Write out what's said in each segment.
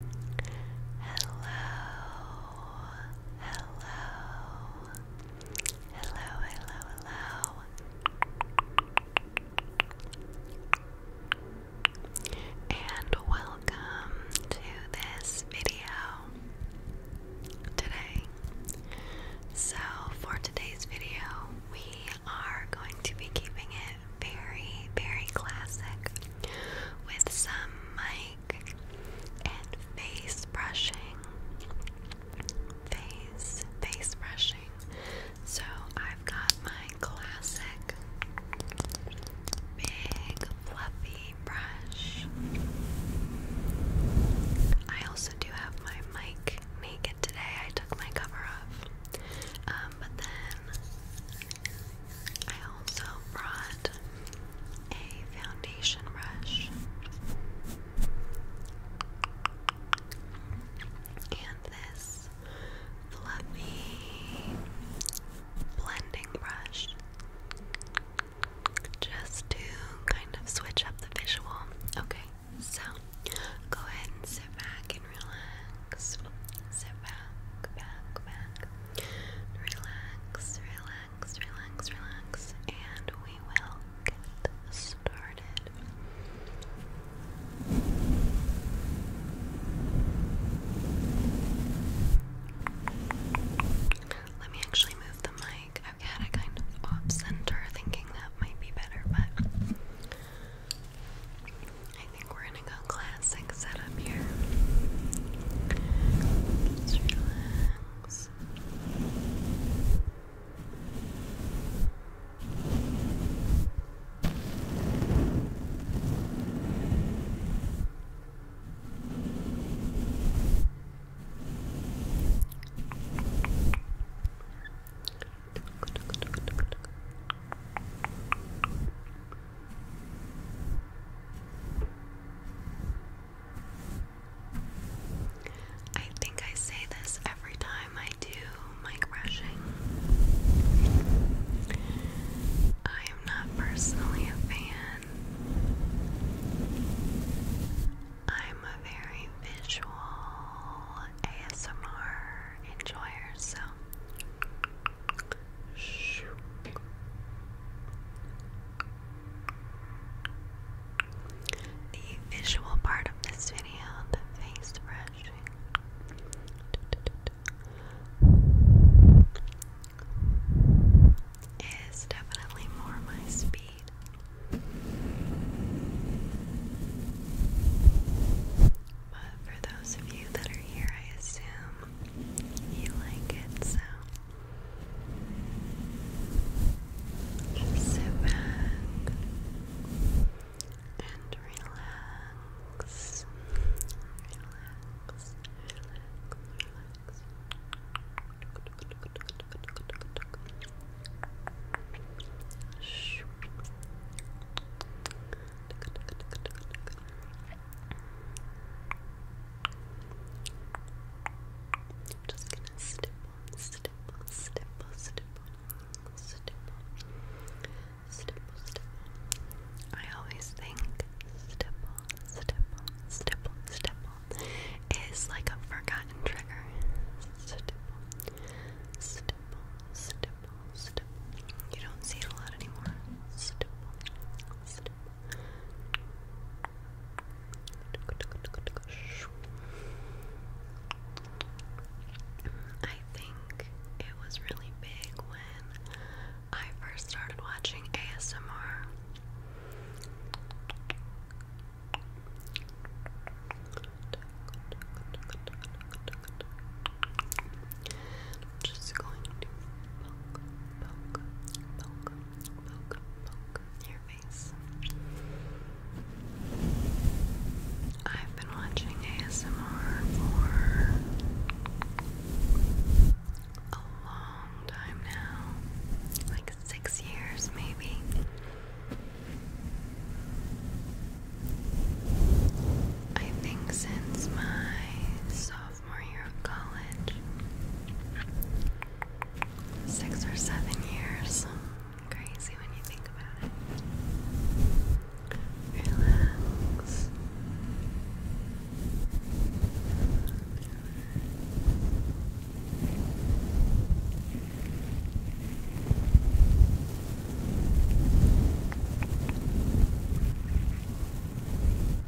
Hello, hello, hello, hello, hello. And welcome to this video today. So, for today's video, we are going to be keeping it very, very classic with some mic and face brushing. Face, face brushing. So I've got my classic big fluffy brush. I also do have my mic naked today. I took my cover off. Um, but then I also brought a foundation brush and this fluffy blending brush just to kind of switch up the visual. Okay, so go ahead and sit back and relax relax, sit back, back, back, relax, relax, relax, relax, and we will get started. Let me actually move the mic. I've had it kind of off center, thinking that might be better, but I think we're gonna go classic setup here. Just relax. I think I say this every time I do mic brushing. I am not personally a fan. I'm a very visual ASMR enjoyer, so the visual part of this video, the face brushing, is definitely more my speed. But for those of you that are here, I assume you like it, so sit back and relax, just gonna stipple, stipple, stipple, stipple, stipple, stipple, stipple. I always think stipple, stipple, stipple, stipple is like a forgotten trigger. Stipple, stipple, stipple, stipple. You don't see it a lot anymore. Stipple, stipple. I think it was really big when I first started watching ASMR. I'm just going to poke, poke, poke, poke, poke your face. I've been watching ASMR for a long time now, like six years maybe. I think since my so more year of college. Six or seven years. Crazy when you think about it. Relax.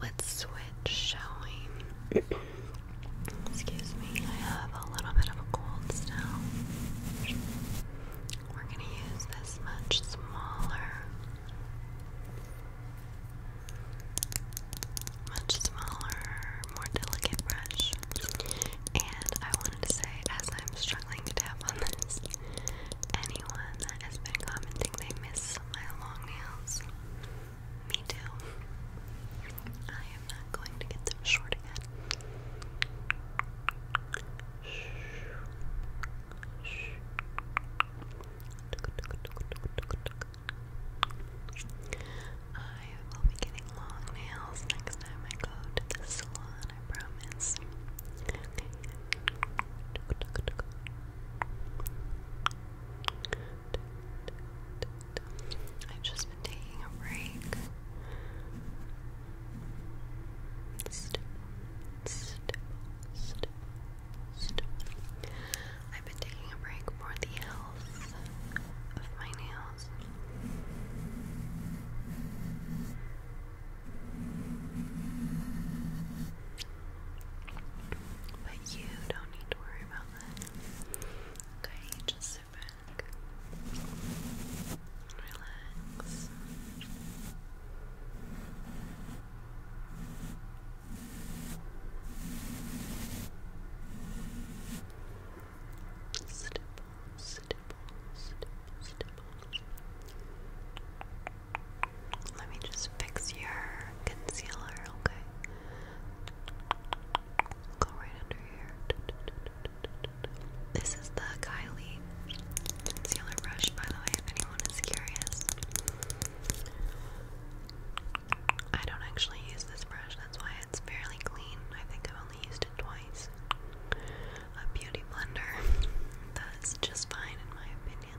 Let's switch, showing. Excuse me, I have a little bit of a cold still. We're going to use this much smaller, much smaller, more delicate brush. And I wanted to say, as I'm struggling to tap on this, anyone that has been commenting they miss my long nails. Me too. I am not going to get them short again. Shh. Shh. I will be getting long nails next time I go to the salon, I promise. I've just been taking a break. I've been taking a break for the health of my nails. But you don't need to worry about that. Okay, just sit back. Relax. Stipple, stipple, stipple, stipple. Let me just fix your concealer, okay? Go right under here. This is the Kylie concealer brush, by the way, if anyone is curious. I don't actually use this brush, that's why it's fairly clean. I think I've only used it twice. A beauty blender. That's just fine in my opinion.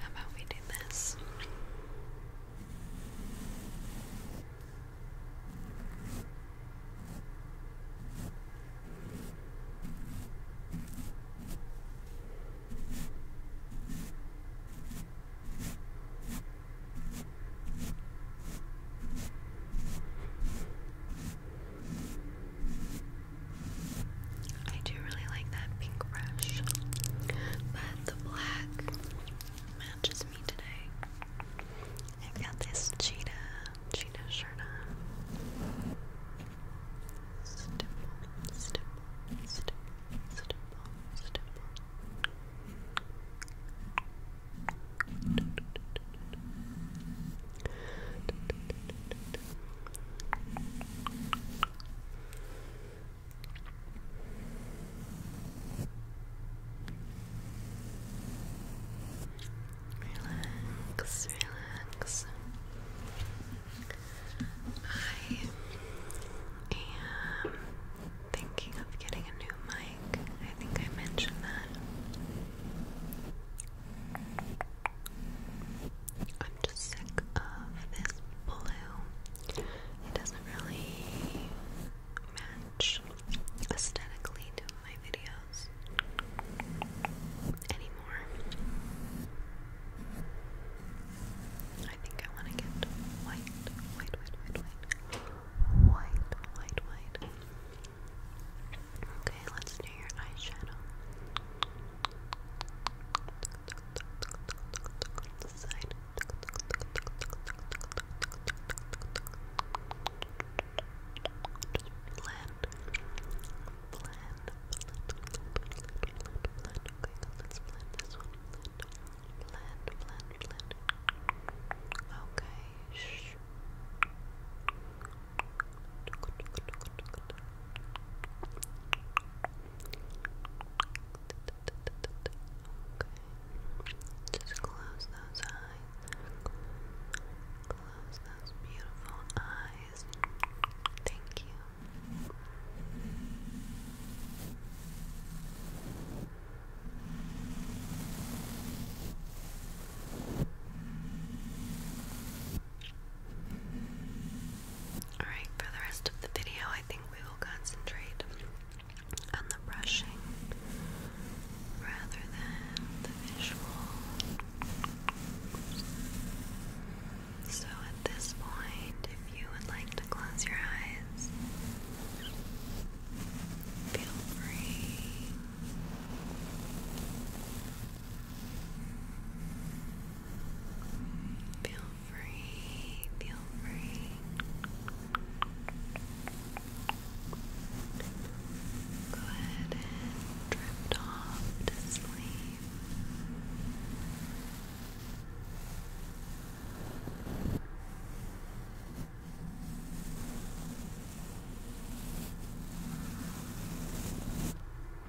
How about we do this? I do really like that pink brush, but the black matches me today. I've got this cheetah, cheetah shirt on. Stipple, stipple, stipple, stipple, stipple. Relax, relax. I am thinking of getting a new mic. I think I mentioned that. I'm just sick of this blue. It doesn't really match aesthetically to my videos anymore. I think I want to get white, white, white, white, white, white, white, white. Okay, let's do your eyeshadow. This side. blend. Blend. Okay, let's blend this one. Blend. Blend. Blend. Okay. Just close those eyes. Close those beautiful eyes. Thank you. Alright, for the rest of the video, I think we will concentrate on the brushing rather than the visual. So at this point, if you would like to close your eyes, Feel free. Feel free, feel free. Go ahead and drift off to sleep.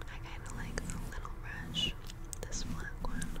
I kind of like the little brush, this black one.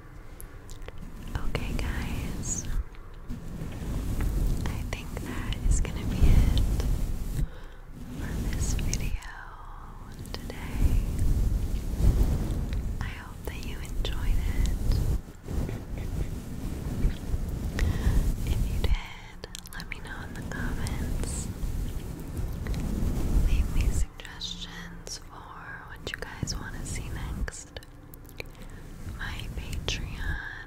Okay, guys, I think that is gonna be it for this video today. I hope that you enjoyed it. If you did, let me know in the comments. Leave me suggestions for what you guys want to see next. My Patreon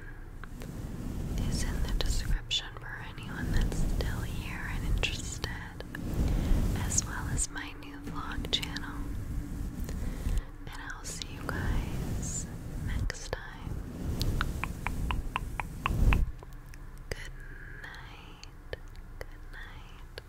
is in the description for anyone that's still here and interested, as well as my new vlog channel. And I'll see you guys next time. Good night. Good night.